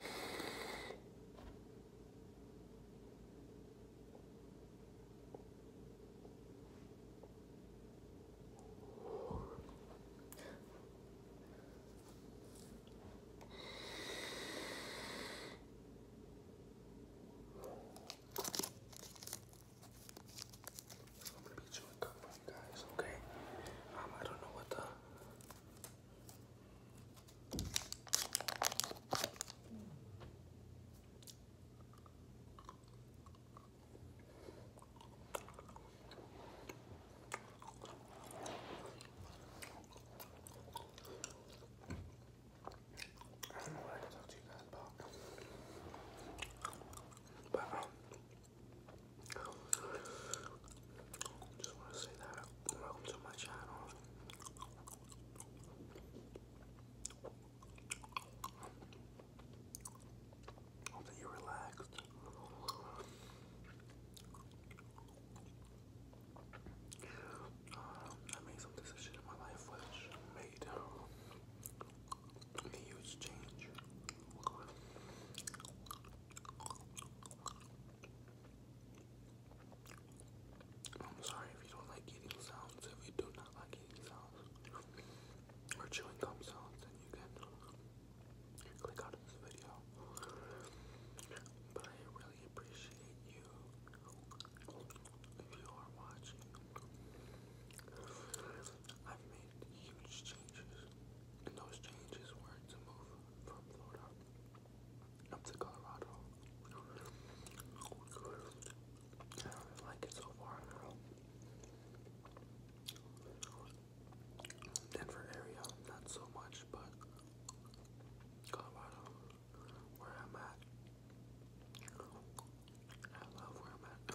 I'm gonna be chewing gum, guys. Okay. Um, I don't know what the I don't know what I can talk to you guys about. But um, just want to say that. Welcome to my channel. Hope that you're relaxed. Um, I made some decision in my life which made a huge change. I'm sorry if you don't like eating sounds. If you do not like eating sounds or chewing gum sounds, then you can click out of this video. But I really appreciate you if you are watching. I've made huge changes, and those changes were to move from Florida up to Colorado. I like it so far. Denver area, not so much, but Colorado, where I'm at. I love where I'm at.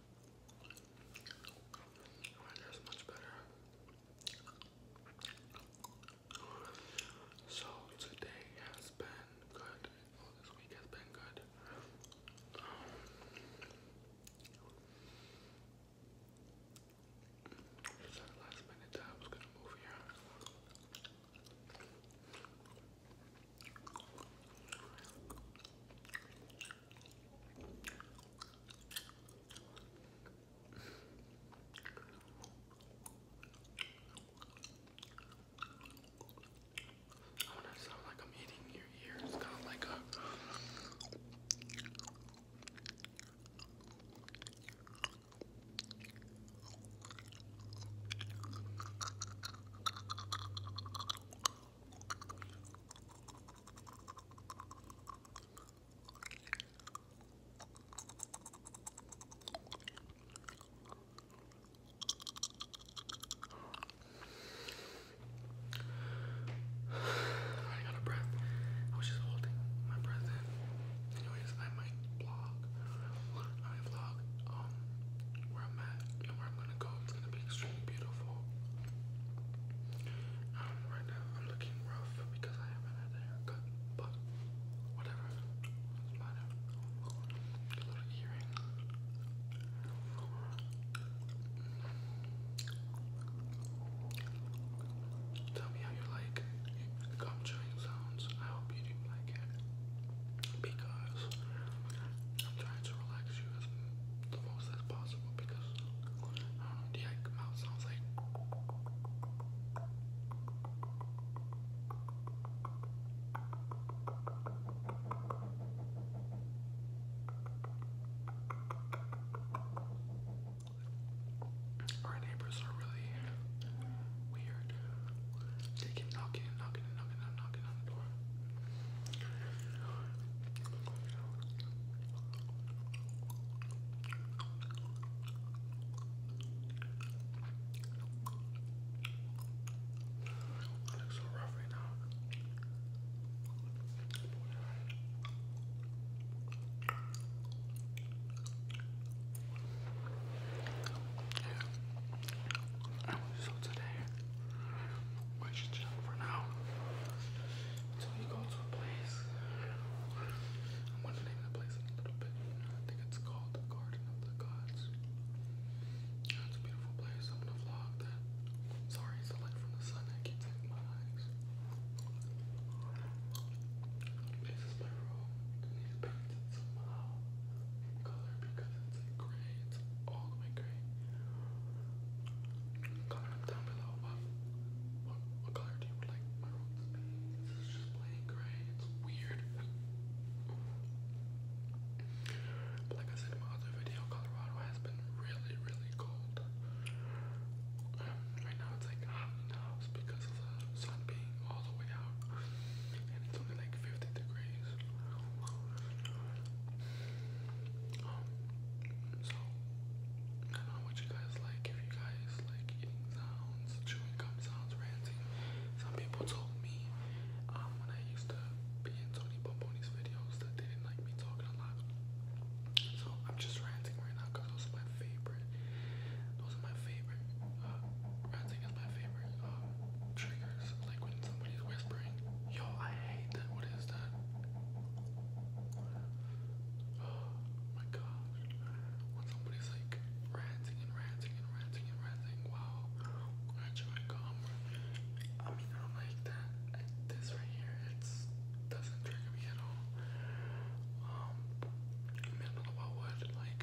Alright, that's So today has been good. this week has been good. the last minute I was gonna move here. I want to sound like I'm hitting your ear. It's kind of like a. Running out of breath. I was just holding my breath in. Anyways, I might vlog. I might vlog um, where I'm at and where I'm gonna go, it's gonna be extremely beautiful. Um, right now I'm looking rough because I haven't had a haircut, but whatever. It's matter. little earring. Tell me how you like gum chewing sounds. I hope you do like it because I'm trying to relax you as the most as possible because the like, mouth sounds like our neighbors are really weird. They keep knocking and knocking and knocking and knocking on the door. I look so rough right now. Yeah. So today, we should chill for now until you go to a place. I'm going to name the place in a little bit. I think it's called the Garden of the Gods. it's a beautiful place. I'm going to vlog that. Sorry, it's the light from the sun that keeps hitting my eyes. This is my room. Color because it's in grades all gray. Comment down below what, what, color do you like my room just plain gray. It's weird. like I said in my other video, Colorado has been really, really cold. Um, right now it's like hot enough because of the sun being all the way out and it's only like 50 degrees. Um, so, I don't know what you guys like, if you guys like eating sounds, chewing gum sounds, ranting. Some people told me um, when I used to be in Tony Pomponi's videos that they didn't like me talking a lot. So, I'm just ranting right now because those are my favorite. Those are my favorite. ranting uh, is my favorite uh, triggers. Like when somebody's whispering, "Yo, I hate that. What is that?" Oh my gosh! When somebody's like ranting and ranting and ranting and ranting, wow! Aren't you uncomfortable? I mean, I don't like that. this right here, it's doesn't trigger me at all. Um, middle of a wood, like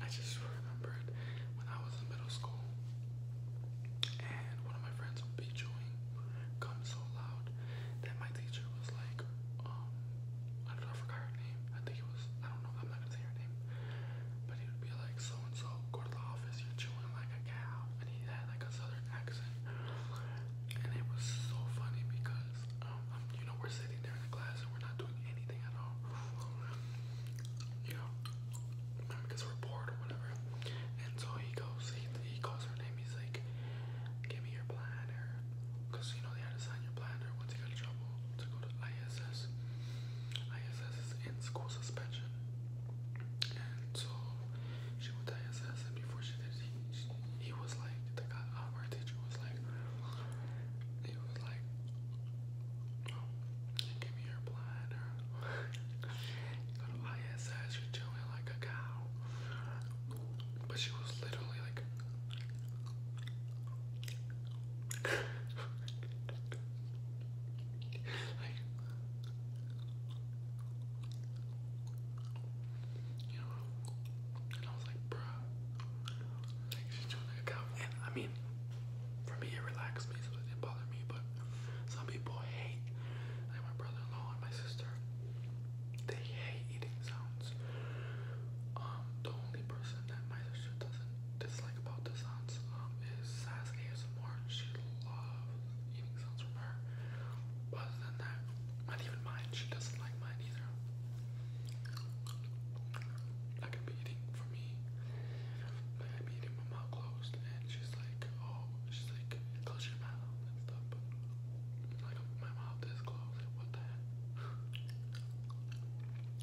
I just remembered when I was in middle school and one of my friends would be chewing gum so loud that my teacher was like, um, I don't know, I forgot her name. I think it was, I don't know, I'm not gonna say her name. But he would be like, so and so, go to the office, you're chewing like a cow. And he had like a southern accent. And it was so funny because, um, you know, we're sitting there in the class and we're not doing anything at all. You know, because we're bored or whatever. And so he goes, he, he calls her name, he's like, give me your planner. Because, you know, they had to sign your planner once you got in trouble to go to ISS. ISS is in school suspension so she went to ISS, and before she did, he, was like, the guy, uh, our teacher was like, he was like, oh, give me your plan, go to ISS, you're chilling like a cow. But she was literally like, You know, and I was like, bruh, like she's doing a cow. And I mean, for me, it relaxed me, so it didn't bother me. But some people hate, like my brother-in-law and my sister, they hate eating sounds. Um, the only person that my sister doesn't dislike about the sounds um, is Sass She loves eating sounds from her. other than that, not even mine. She doesn't like mine either. I could be for me. I'd eating my mouth closed, and she's like, oh, she's like, close your mouth and stuff. like my mouth is closed. Like, what the heck?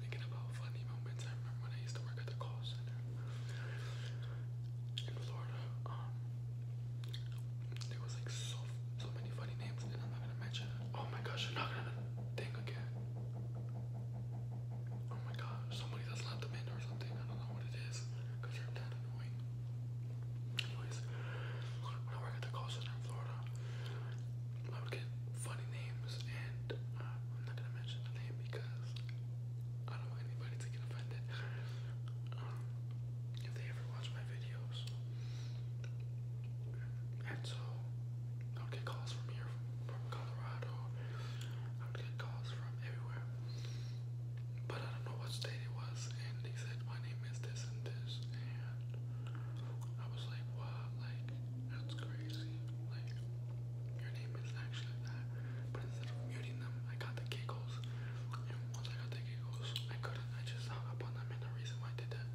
thinking about funny moments. I remember when I used to work at the call center in Florida. Um, there was like so so many funny names, and I'm not gonna mention. Oh my gosh, you're not gonna think again. Oh my gosh, somebody that's left them in or something. I don't know what it cause you're that annoying. Anyways, when I work at the call center in Florida, I would get funny names, and uh, I'm not gonna mention the name because I don't want anybody to get offended. um, if they ever watch my videos, and so I would get calls from here, from Colorado. I would get calls from everywhere, but I don't know what state it was, and they said my name is this and this, and I was like, "Wow, like that's crazy." like, your name is actually that. But instead of muting them, I got the giggles. And once I got the giggles, I couldn't, I just hung up on them. And the reason why I did that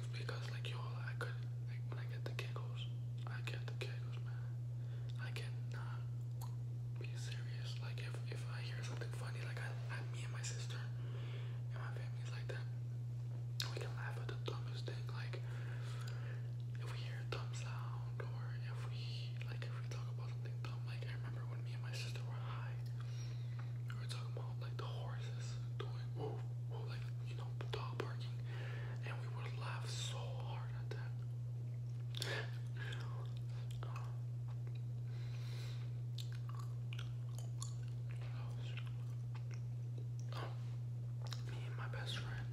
is because, like, you I could, when I get the giggles, I get the giggles, man. I cannot be serious. Like, if, if I hear something funny, like, I me and my sister, and my family's like that. We can laugh at the dumbest thing, like if we hear a dumb sound or if we like if we talk about something dumb. Like I remember when me and my sister were high, we were talking about like the horses doing woo woo, like you know dog barking, and we would laugh so hard at that. um, I me and my best friend,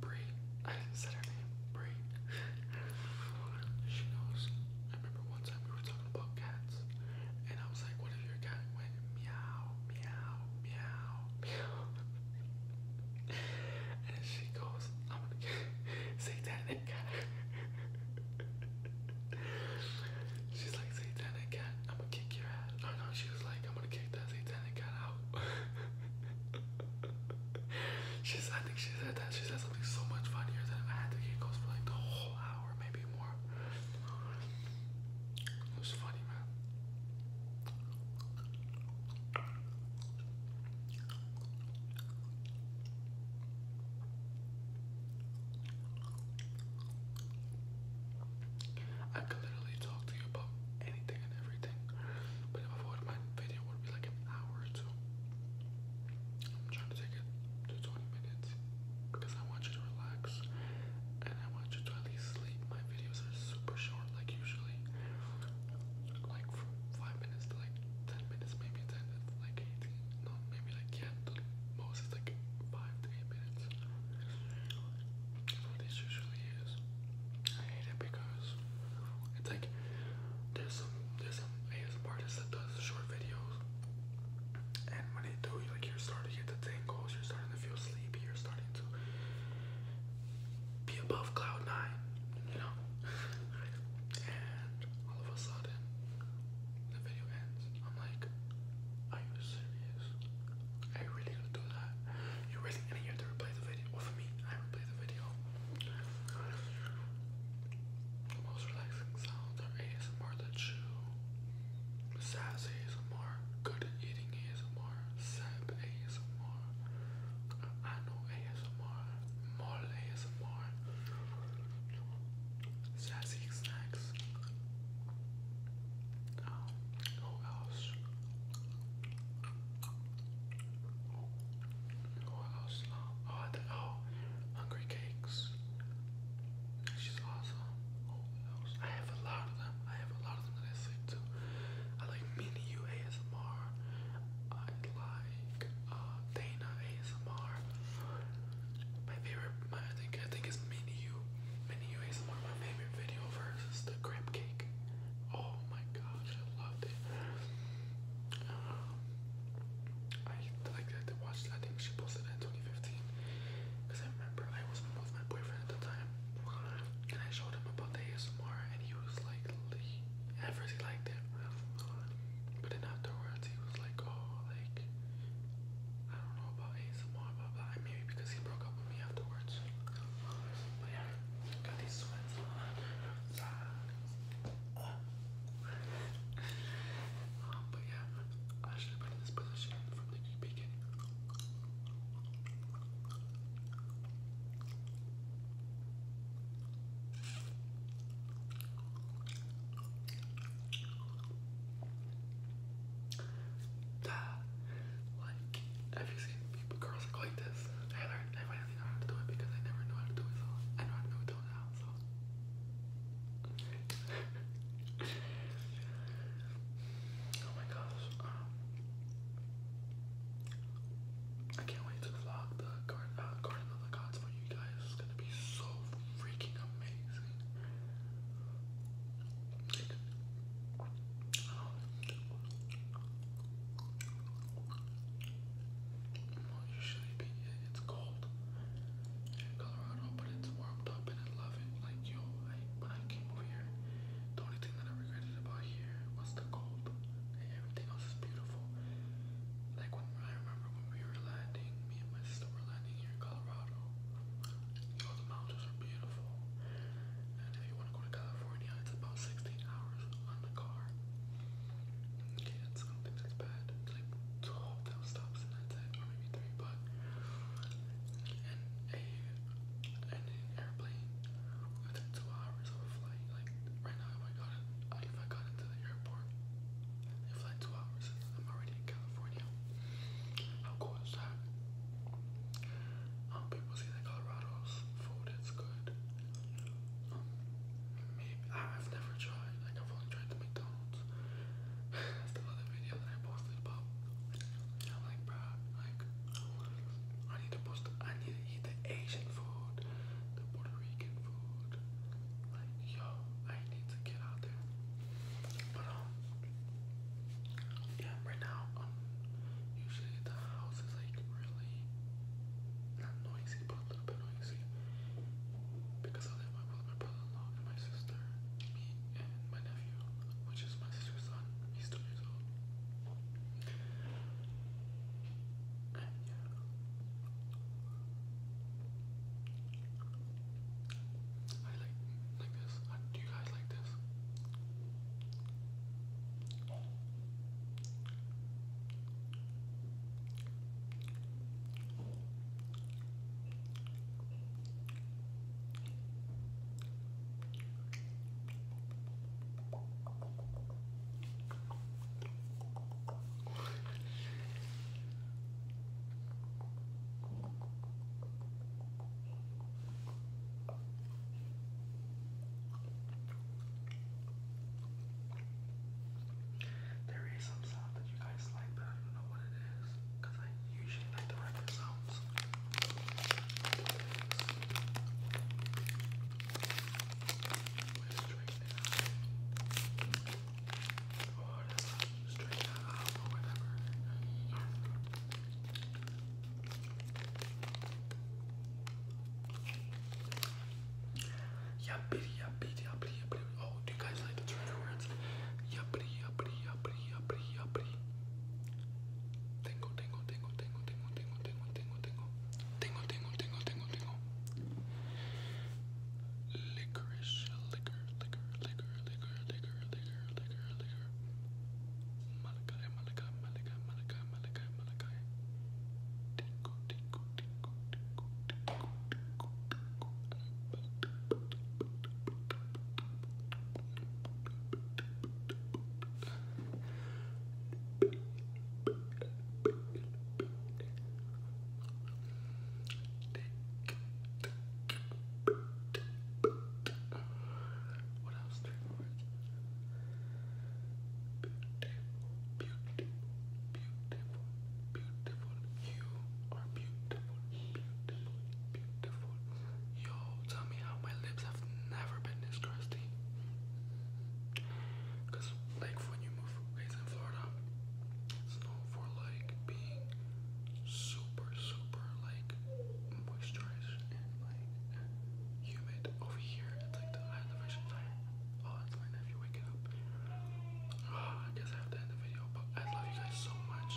Bree. I said her name, Bree. she knows. I remember one time we were talking about cats, and I was like, "What if your cat went meow, meow, meow, meow?" and she goes, "I'm gonna say that cat." She's like, Satanic cat, I'm gonna kick your ass. Oh no, she was like, I'm gonna kick that Satanic cat out. she said, I think she said that. She said something so much funnier than I had to keep going for like the whole hour, maybe more. It was funny, man. I could literally talk to you about anything and everything, but if my video would be like an hour or two. I'm trying to take it to 20 minutes because I want you to relax and I want you to at least sleep. My videos are super short, like usually, like 5 minutes to like 10 minutes, maybe 10 to like 18, no, maybe like again, the most is like five to eight minutes. That's this usually is. I hate it because it's like there's some there's some ASMR that does short videos, and when they do, like you're starting to get the tingles, you're starting to feel sleepy, you're starting to be above cloud nine, you know. all of a sudden, the video ends. I'm like, are you serious? Are really gonna do that? You really and you have to replay the video. Well me, I replay the video. most relaxing sounds ASMR that you sass ASMR, good eating ASMR, sap ASMR, I know ASMR, mall ASMR sassy snacks. Um, who else? Who else? Oh, oh, Hungry Cakes. She's awesome. Who else? I have a lot of them. I have a lot of them that I sleep to. I like Mini U ASMR. Uh, Dana ASMR. My favorite, my, I think I think it's Menu, Menu ASMR. My favorite video of the crab cake. Oh my gosh, I loved it. Um, I like I did I think she posted in 2015 because I remember I was with my boyfriend at the time, and I showed him about the ASMR, and he was like, "Ever he liked but then afterwards, he was like, oh, like, I don't know about ASMR, blah, blah. Maybe because he broke up with me afterwards. But yeah, got these sweats on. Um, but yeah, I should have been in this position from the beginning. Like, have you seen people, girls look like this? They learned, they finally know how to do it because I never knew how to do it, so I know how to do it now, so. oh my gosh, um, I can't wait to vlog the uh, garden, of the gods for you guys. It's gonna be so freaking amazing. Oh, it's cold in Colorado, but it's warmed up and I love it. Like, yo, when I came over here, the only thing that I regretted about here was the cold. Everything else is beautiful. Like when I remember when we were landing, me and my sister were landing here in Colorado. You the mountains are beautiful. And if you want to go to California, it's about 16 hours on the car. Okay, that's, don't think that's bad. It's like 12 stops and that's it, or maybe 3, but... And a, and an airplane, within 2 hours of a like right now, if I got it, if I got into the airport, I fly two hours. I'm already in California. How cool is that? Um, people say that Colorado's food is good. Um, maybe I've never tried. Like I've only tried the McDonald's. That's the video that I posted about. like, bruh, like I need to post. I need the Asian food, the Puerto Rican food. Like, yo, I need to get out there. But, um, yeah, right now, um, usually the house is like really not noisy, but a little bit noisy. Because I live with my brother in law and my sister, me, and my nephew, which is my sister's son. He's two years old. I like like this. Uh, do you guys like this? There is some sound that you guys like, but I don't know what it is I usually like the regular sounds straighten it out. Or you Oh, do you guys like the trigger words? Yuppity, yuppity, yuppity, yuppity, yuppity. Tingle, tingle, tingle, tingle, tingle, tingle, tingle, tingle tengo, tengo. Tengo, tengo, tengo, tengo, tengo. Licorice, liquor, liquor, liquor, liquor, liquor, liquor, liquor, liquor. Malakai, malakai, malakai, malakai, malakai, malakai. Tinko, tinko, tinko, tinko, tinko, tinko, tinko. Baby, what else you Beautiful, beautiful, beautiful, beautiful. You are beautiful, beautiful, beautiful. Yo, tell me how my lips never been this crusty. Cause like when you move raised in Florida, it's known for like being super, super like moisturized and like humid. Over here, it's like the elevation time. Oh, it's my nephew waking up. Ah, I guess I have to end the video, but I love you guys so much.